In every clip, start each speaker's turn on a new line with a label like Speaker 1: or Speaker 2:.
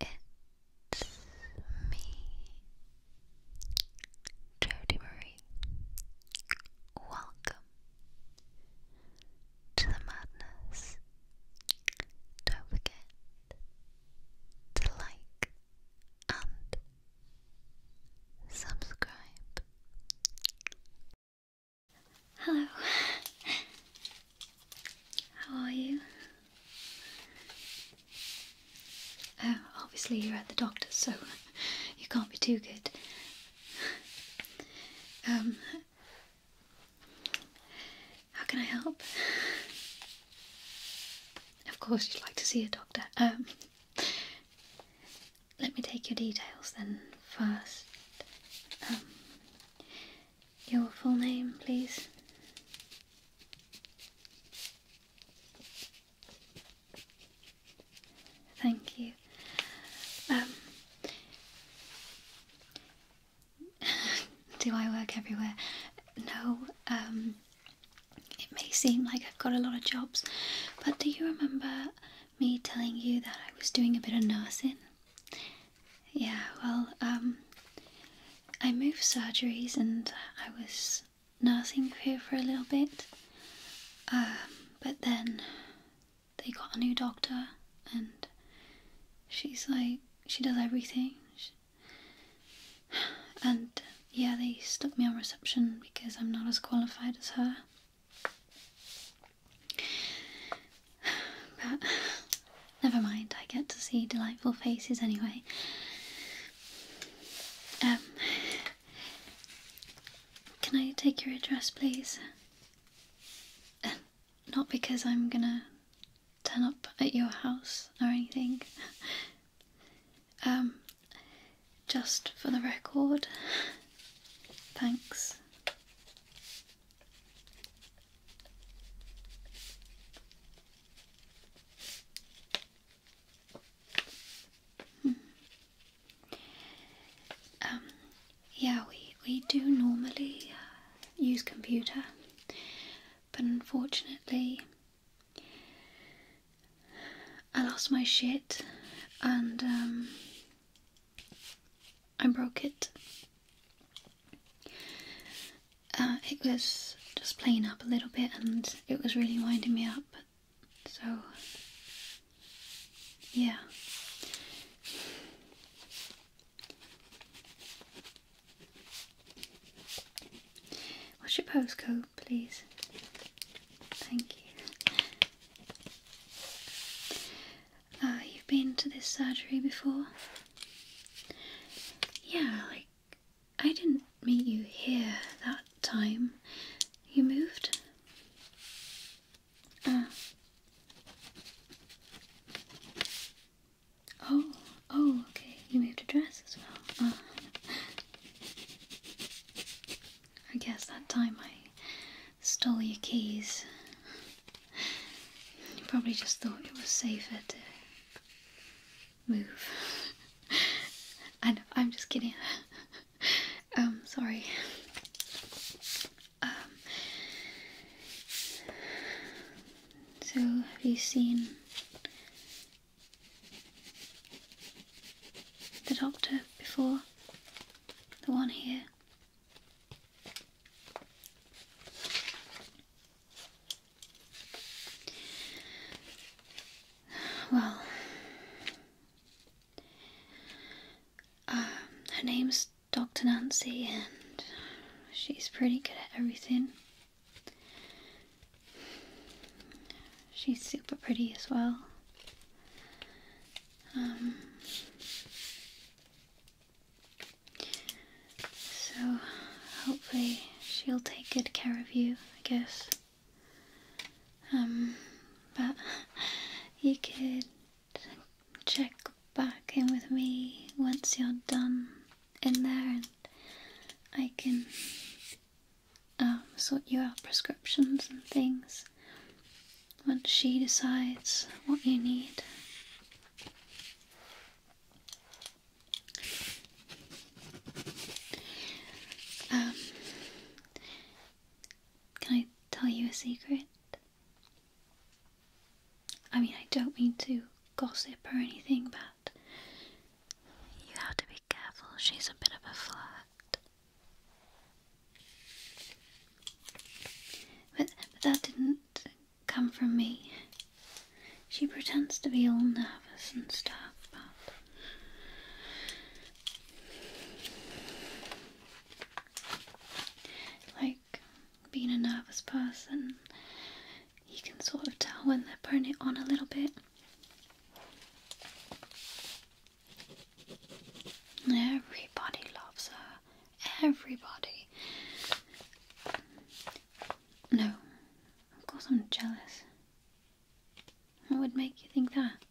Speaker 1: It's me, Jody Marie. Welcome to the madness. Don't forget to like and subscribe. Hello. How are you? Oh, obviously you're at the doctor's, so you can't be too good. Um, how can I help? Of course, you'd like to see a doctor. Um, let me take your details then first. Um, your full name, please? Thank you. Um, do I work everywhere? No. Um, it may seem like I've got a lot of jobs, but do you remember me telling you that I was doing a bit of nursing? Yeah, well, um, I moved surgeries and I was nursing here for a little bit. Um, but then they got a new doctor and she's like, she does everything. and yeah, they stuck me on reception because I'm not as qualified as her. But never mind, I get to see delightful faces anyway. Um, can I take your address, please? Uh, not because I'm gonna turn up at your house or anything. Um, just for the record. Thanks. Um, yeah, we, we do normally uh, use computer, but unfortunately, I lost my shit and um, I broke it. Uh, it was just playing up a little bit and it was really winding me up. So, yeah. What's your postcode, please? Thank you. Uh, you've been to this surgery before? Yeah, like, I didn't meet you here that time. You moved? Uh. Oh, oh, okay. You moved address as well. Uh. I guess that time I stole your keys. You probably just thought it was safer to move. I know, I'm just kidding. um, sorry. Um, so, have you seen the doctor before? The one here? Well, um, her name's Dr. Nancy, and she's pretty good at everything. She's super pretty as well. Um, so, hopefully, she'll take good care of you, I guess. Um, but you could check back in with me once you're done in there and I can um, sort you out prescriptions and things once she decides what you need. Um, can I tell you a secret? I mean, I don't mean to gossip or anything, but you have to be careful. She's a bit of a flirt. But, but that didn't come from me. She pretends to be all nervous and stuff, but. Like being a nervous person, you can sort of tell when they're putting it on a little bit. Everybody loves her. Everybody. No, of course I'm jealous. What would make you think that?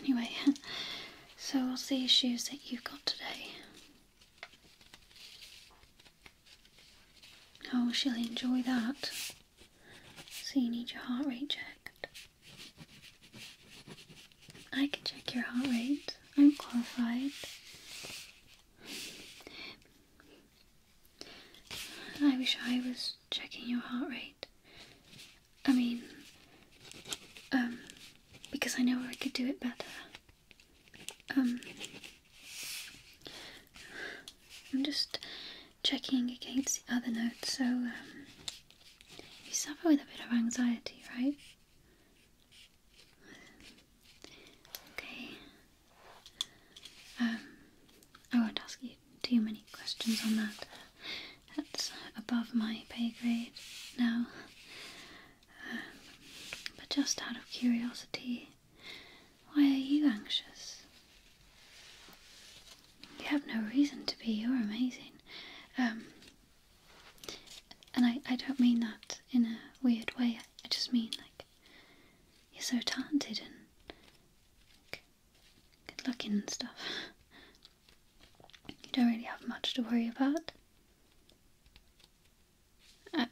Speaker 1: Anyway, so what's the issues that you've got today? Oh, she'll enjoy that. So you need your heart rate checked. I can check your heart rate. I'm qualified. I wish I was checking your heart rate. I mean, um, because I know I could do it better. Um, I'm just checking against the other notes. So, um, you suffer with a bit of anxiety, right? Okay. Um, I won't ask you too many questions on that. That's above my pay grade now. but just out of curiosity, why are you anxious? You have no reason to be. You're amazing. Um, and I, I don't mean that in a weird way. I just mean, like, you're so talented and good looking and stuff. You don't really have much to worry about.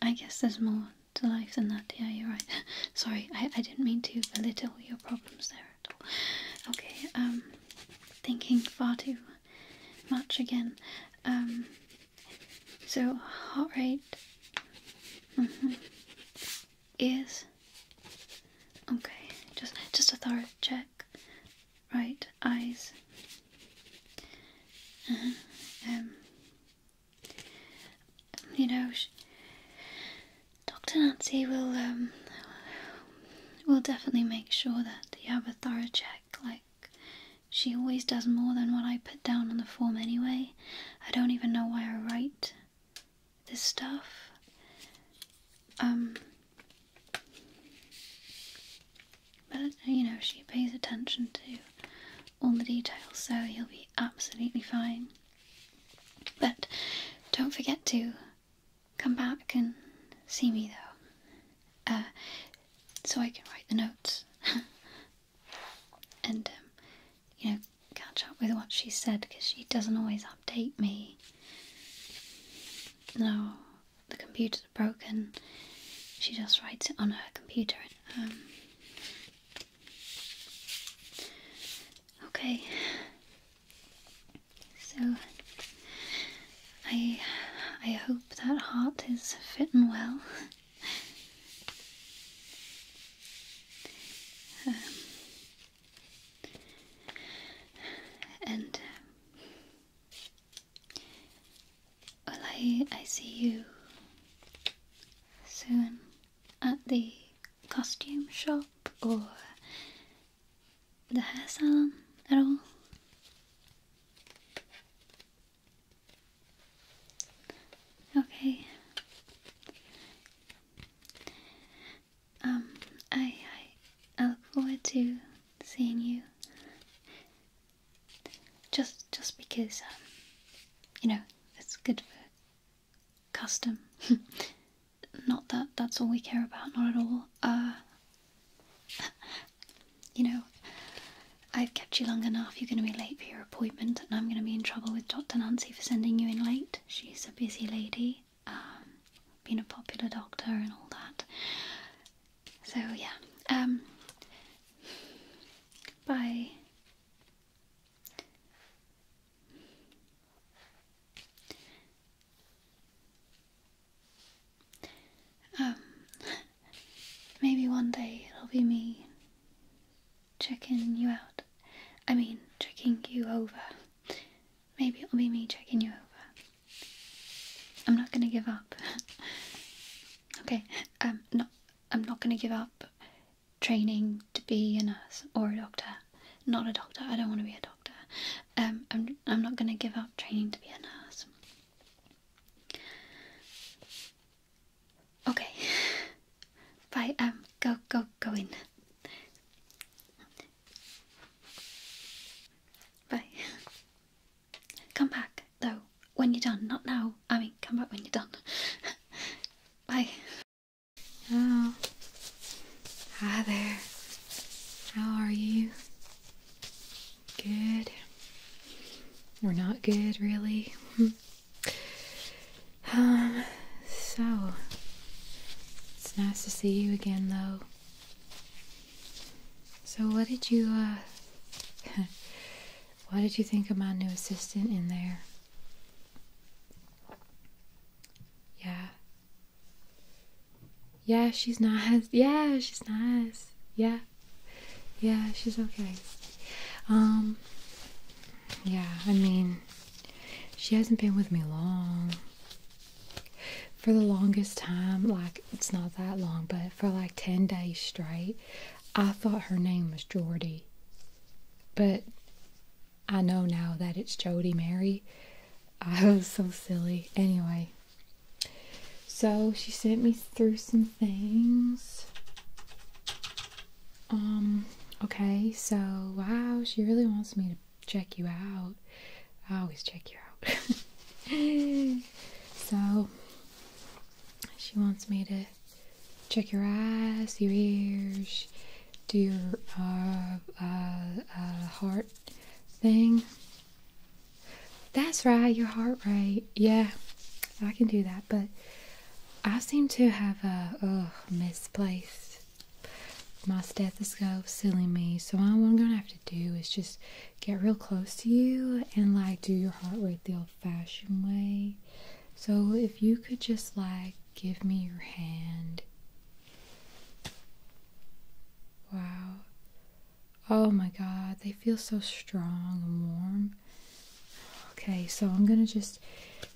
Speaker 1: I, guess there's more to life than that. Yeah, you're right. Sorry, I, I didn't mean to belittle your problems there at all. Okay, um, thinking far too much again. Um, so heart rate. -hmm. Ears. Okay, just just a thorough check. Right, eyes. Uh-huh, um, you know, Dr. Nancy will um, will definitely make sure that you have a thorough check. Like she always does more than what I put down on the form anyway. I don't even know why I write this stuff. Um, but you know, she pays attention to all the details, so you'll be absolutely fine. But don't forget to come back and see me though, uh, so I can write the notes and, um, you know, catch up with what she said because she doesn't always update me. No, the computer's broken. She just writes it on her computer. And, um, Okay. So I I hope that heart is fitting well. Um, and well, I, I see you soon at the costume shop or the hair salon at all. Okay. Um, I, I look forward to seeing you. Just just because um, you know it's good for custom. not that that's all we care about. Not at all. Uh, you know, I've kept you long enough. You're going to be late for your appointment, and I'm going to be in trouble with Dr. Nancy for sending you in late. She's a busy lady, um, being a popular doctor and all that. So yeah. Um, bye. Um, maybe one day it'll be me checking you out. I mean, checking you over. Maybe it'll be me checking you over. I'm not gonna give up. okay, um, not I'm not going to give up training to be a nurse or a doctor. Not a doctor. I don't want to be a doctor. Um, I'm I'm not going to give up training to be a nurse. Okay. Bye. Um. Go. Go. Go in. Bye. Come back though when you're done, not now. I mean, come back when you're done. Bye. Oh. Hi there.
Speaker 2: How are you? Good. We're not good, really. um, so. It's nice to see you again, though. So, what did you, uh, What did you think of my new assistant in there? Yeah. Yeah, she's nice. Yeah, she's nice. Yeah. Yeah, she's okay. Um Yeah, I mean she hasn't been with me long. For the longest time, like it's not that long, but for like 10 days straight, I thought her name was Jordy, but I know now that it's Jody Mary. I was so silly. Anyway, so she sent me through some things. Um, okay, so wow, she really wants me to check you out. I always check you out. so she wants me to check your eyes, your ears, do your uh, uh, uh, heart thing. That's right, your heart rate. Yeah, I can do that, but I seem to have a oh, misplaced my stethoscope, silly me. So what I'm gonna have to do is just get real close to you and like do your heart rate the old-fashioned way. So if you could just like give me your hand. Wow. Oh my god, they feel so strong and warm. Okay, so I'm gonna just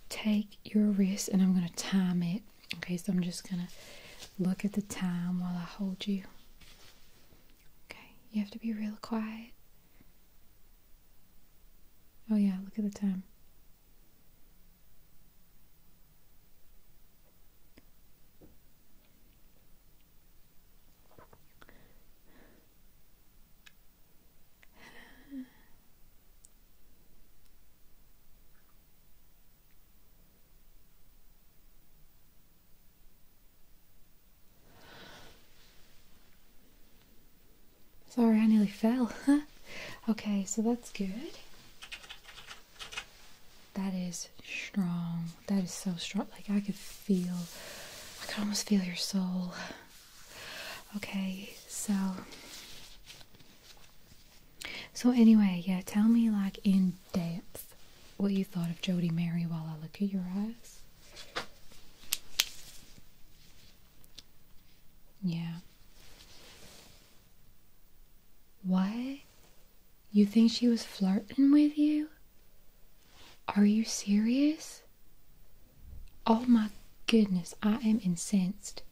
Speaker 2: take your wrist and I'm gonna time it. Okay, so I'm just gonna look at the time while I hold you. Okay, you have to be real quiet. Oh, yeah, look at the time. Sorry, I nearly fell. okay, so that's good. That is strong. That is so strong. Like I could feel, I could almost feel your soul. Okay, so. So anyway, yeah, tell me like in depth what you thought of Jody Mary while I look at your eyes. Yeah. Why? You think she was flirting with you? Are you serious? Oh my goodness, I am incensed.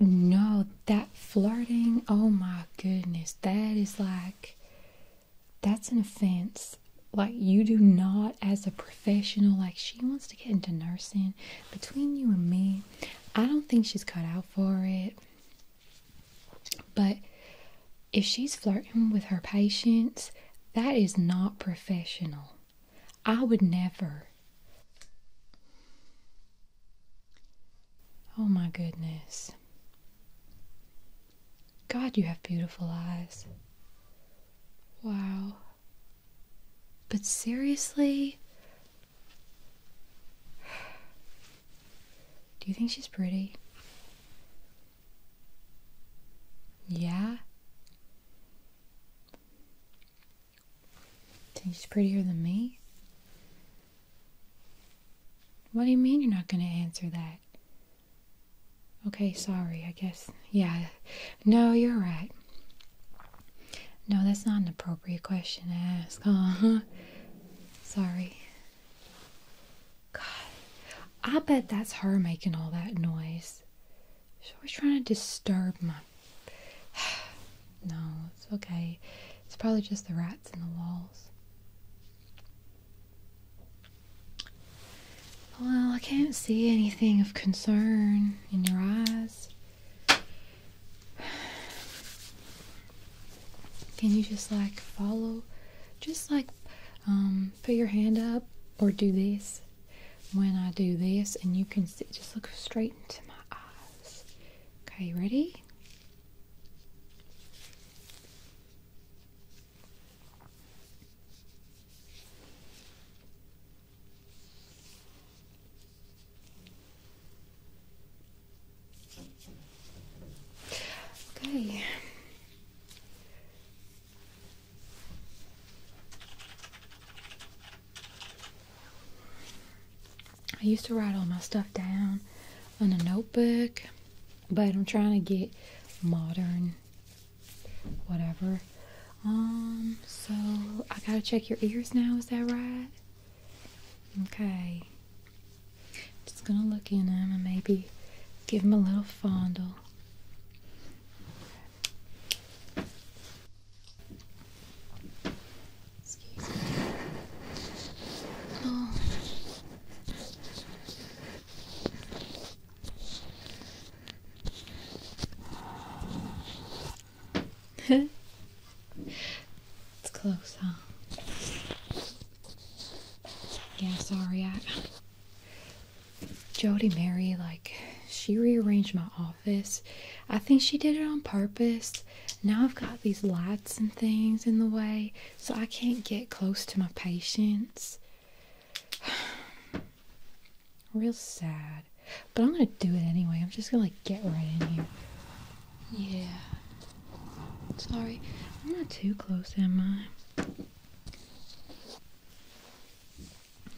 Speaker 2: No, that flirting, oh my goodness, that is like that's an offense. Like, you do not, as a professional, like, she wants to get into nursing. Between you and me, I don't think she's cut out for it. But if she's flirting with her patients, that is not professional. I would never. Oh my goodness. God, you have beautiful eyes. Wow. But seriously? Do you think she's pretty? Yeah? Think she's prettier than me? What do you mean you're not going to answer that? Okay, sorry, I guess. Yeah, no, you're right. No, that's not an appropriate question to ask, huh? Sorry. God, I bet that's her making all that noise. She's always trying to disturb my. no, it's okay. It's probably just the rats in the walls.
Speaker 1: Well, I can't
Speaker 2: see anything of concern in your eyes. Can you just like follow? Just like um, put your hand up or do this when I do this, and you can Just look straight into my eyes. Okay, ready? Okay. I used to write all my stuff down on a notebook, but I'm trying to get modern whatever. Um, so I gotta check your ears now, is that right? Okay. Just gonna look in them and maybe give them a little fondle. Excuse me. Oh. it's close, huh? Yeah, sorry. I, Jody Mary, like, she rearranged my office. I think she did it on purpose. Now I've got these lights and things in the way, so I can't get close to my patients. Real sad. But I'm gonna do it anyway. I'm just gonna like get right in here. Yeah. Sorry. I'm not too close, am I?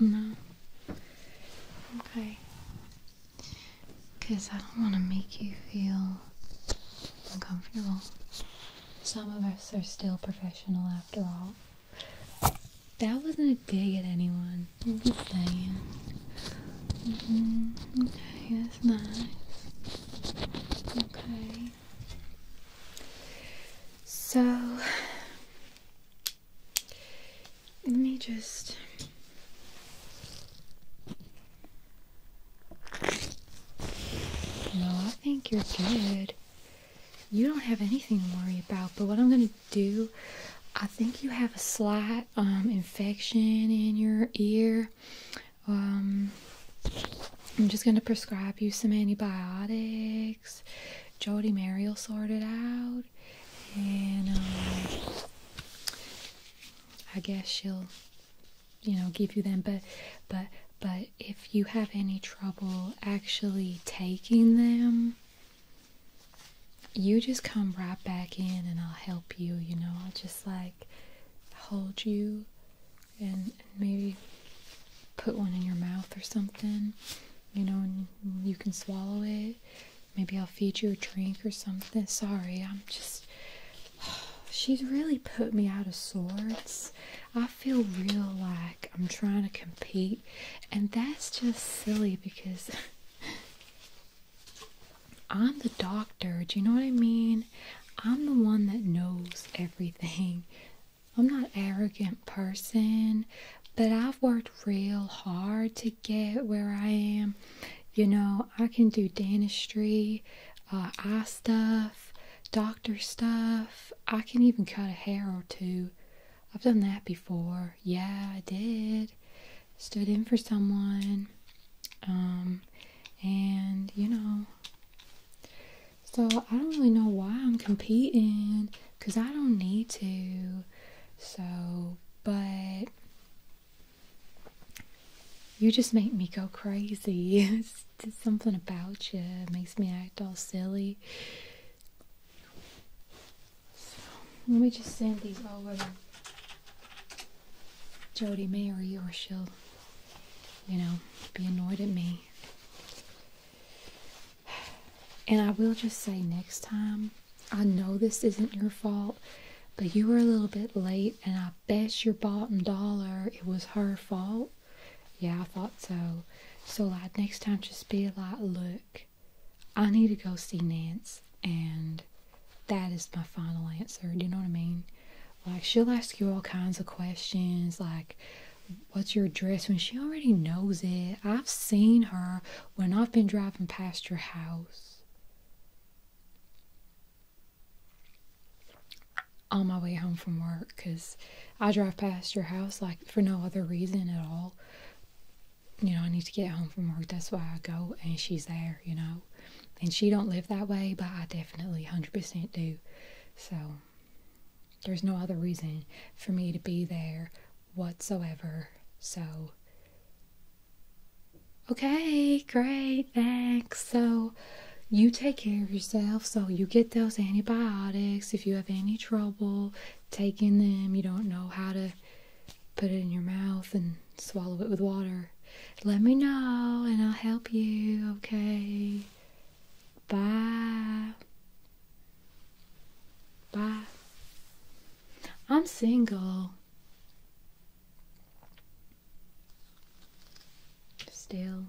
Speaker 2: No. Okay. Because I don't want to make you feel uncomfortable. Some of us are still professional after all. That wasn't a dig at anyone. i mm-hmm. Okay, that's nice.
Speaker 1: Okay.
Speaker 2: So, let me just. No, I think you're good you don't have anything to worry about. But what I'm going to do, I think you have a slight um, infection in your ear. Um, I'm just going to prescribe you some antibiotics. Jody Mary will sort it out. And um, I guess she'll, you know, give you them. But, but, but if you have any trouble actually taking them, you just come right back in and I'll help you, you know. I'll just like hold you and maybe put one in your mouth or something, you know, you can swallow it. Maybe I'll feed you a drink or something. Sorry, I'm just. She's really put me out of sorts. I feel real like I'm trying to compete, and that's just silly because I'm the doctor. Do you know what I mean? I'm the one that knows everything. I'm not an arrogant person, but I've worked real hard to get where I am. You know, I can do dentistry, I uh, stuff, doctor stuff. I can even cut a hair or two. I've done that before. Yeah, I did. Stood in for someone. Um, and, you know, so I don't really know why I'm competing because I don't need to. So, but you just make me go crazy. it's something about you it makes me act all silly let me just send these over Jody Mary or she'll, you know, be annoyed at me. And I will just say next time, I know this isn't your fault, but you were a little bit late, and I bet your bottom dollar it was her fault. Yeah, I thought so. So like next time just be like, look, I need to go see Nance and that is my final answer. Do you know what I mean? Like she'll ask you all kinds of questions like what's your address when she already knows it. I've seen her when I've been driving past your house. On my way home from work, because I drive past your house like for no other reason at all. You know, I need to get home from work. That's why I go, and she's there. You know, and she don't live that way, but I definitely hundred percent do. So there's no other reason for me to be there whatsoever. So okay, great, thanks. So you take care of yourself so you get those antibiotics if you have any trouble Taking them, you don't know how to put it in your mouth and swallow it with water, let me know and I'll help you, okay? Bye. Bye. I'm single.
Speaker 1: Still.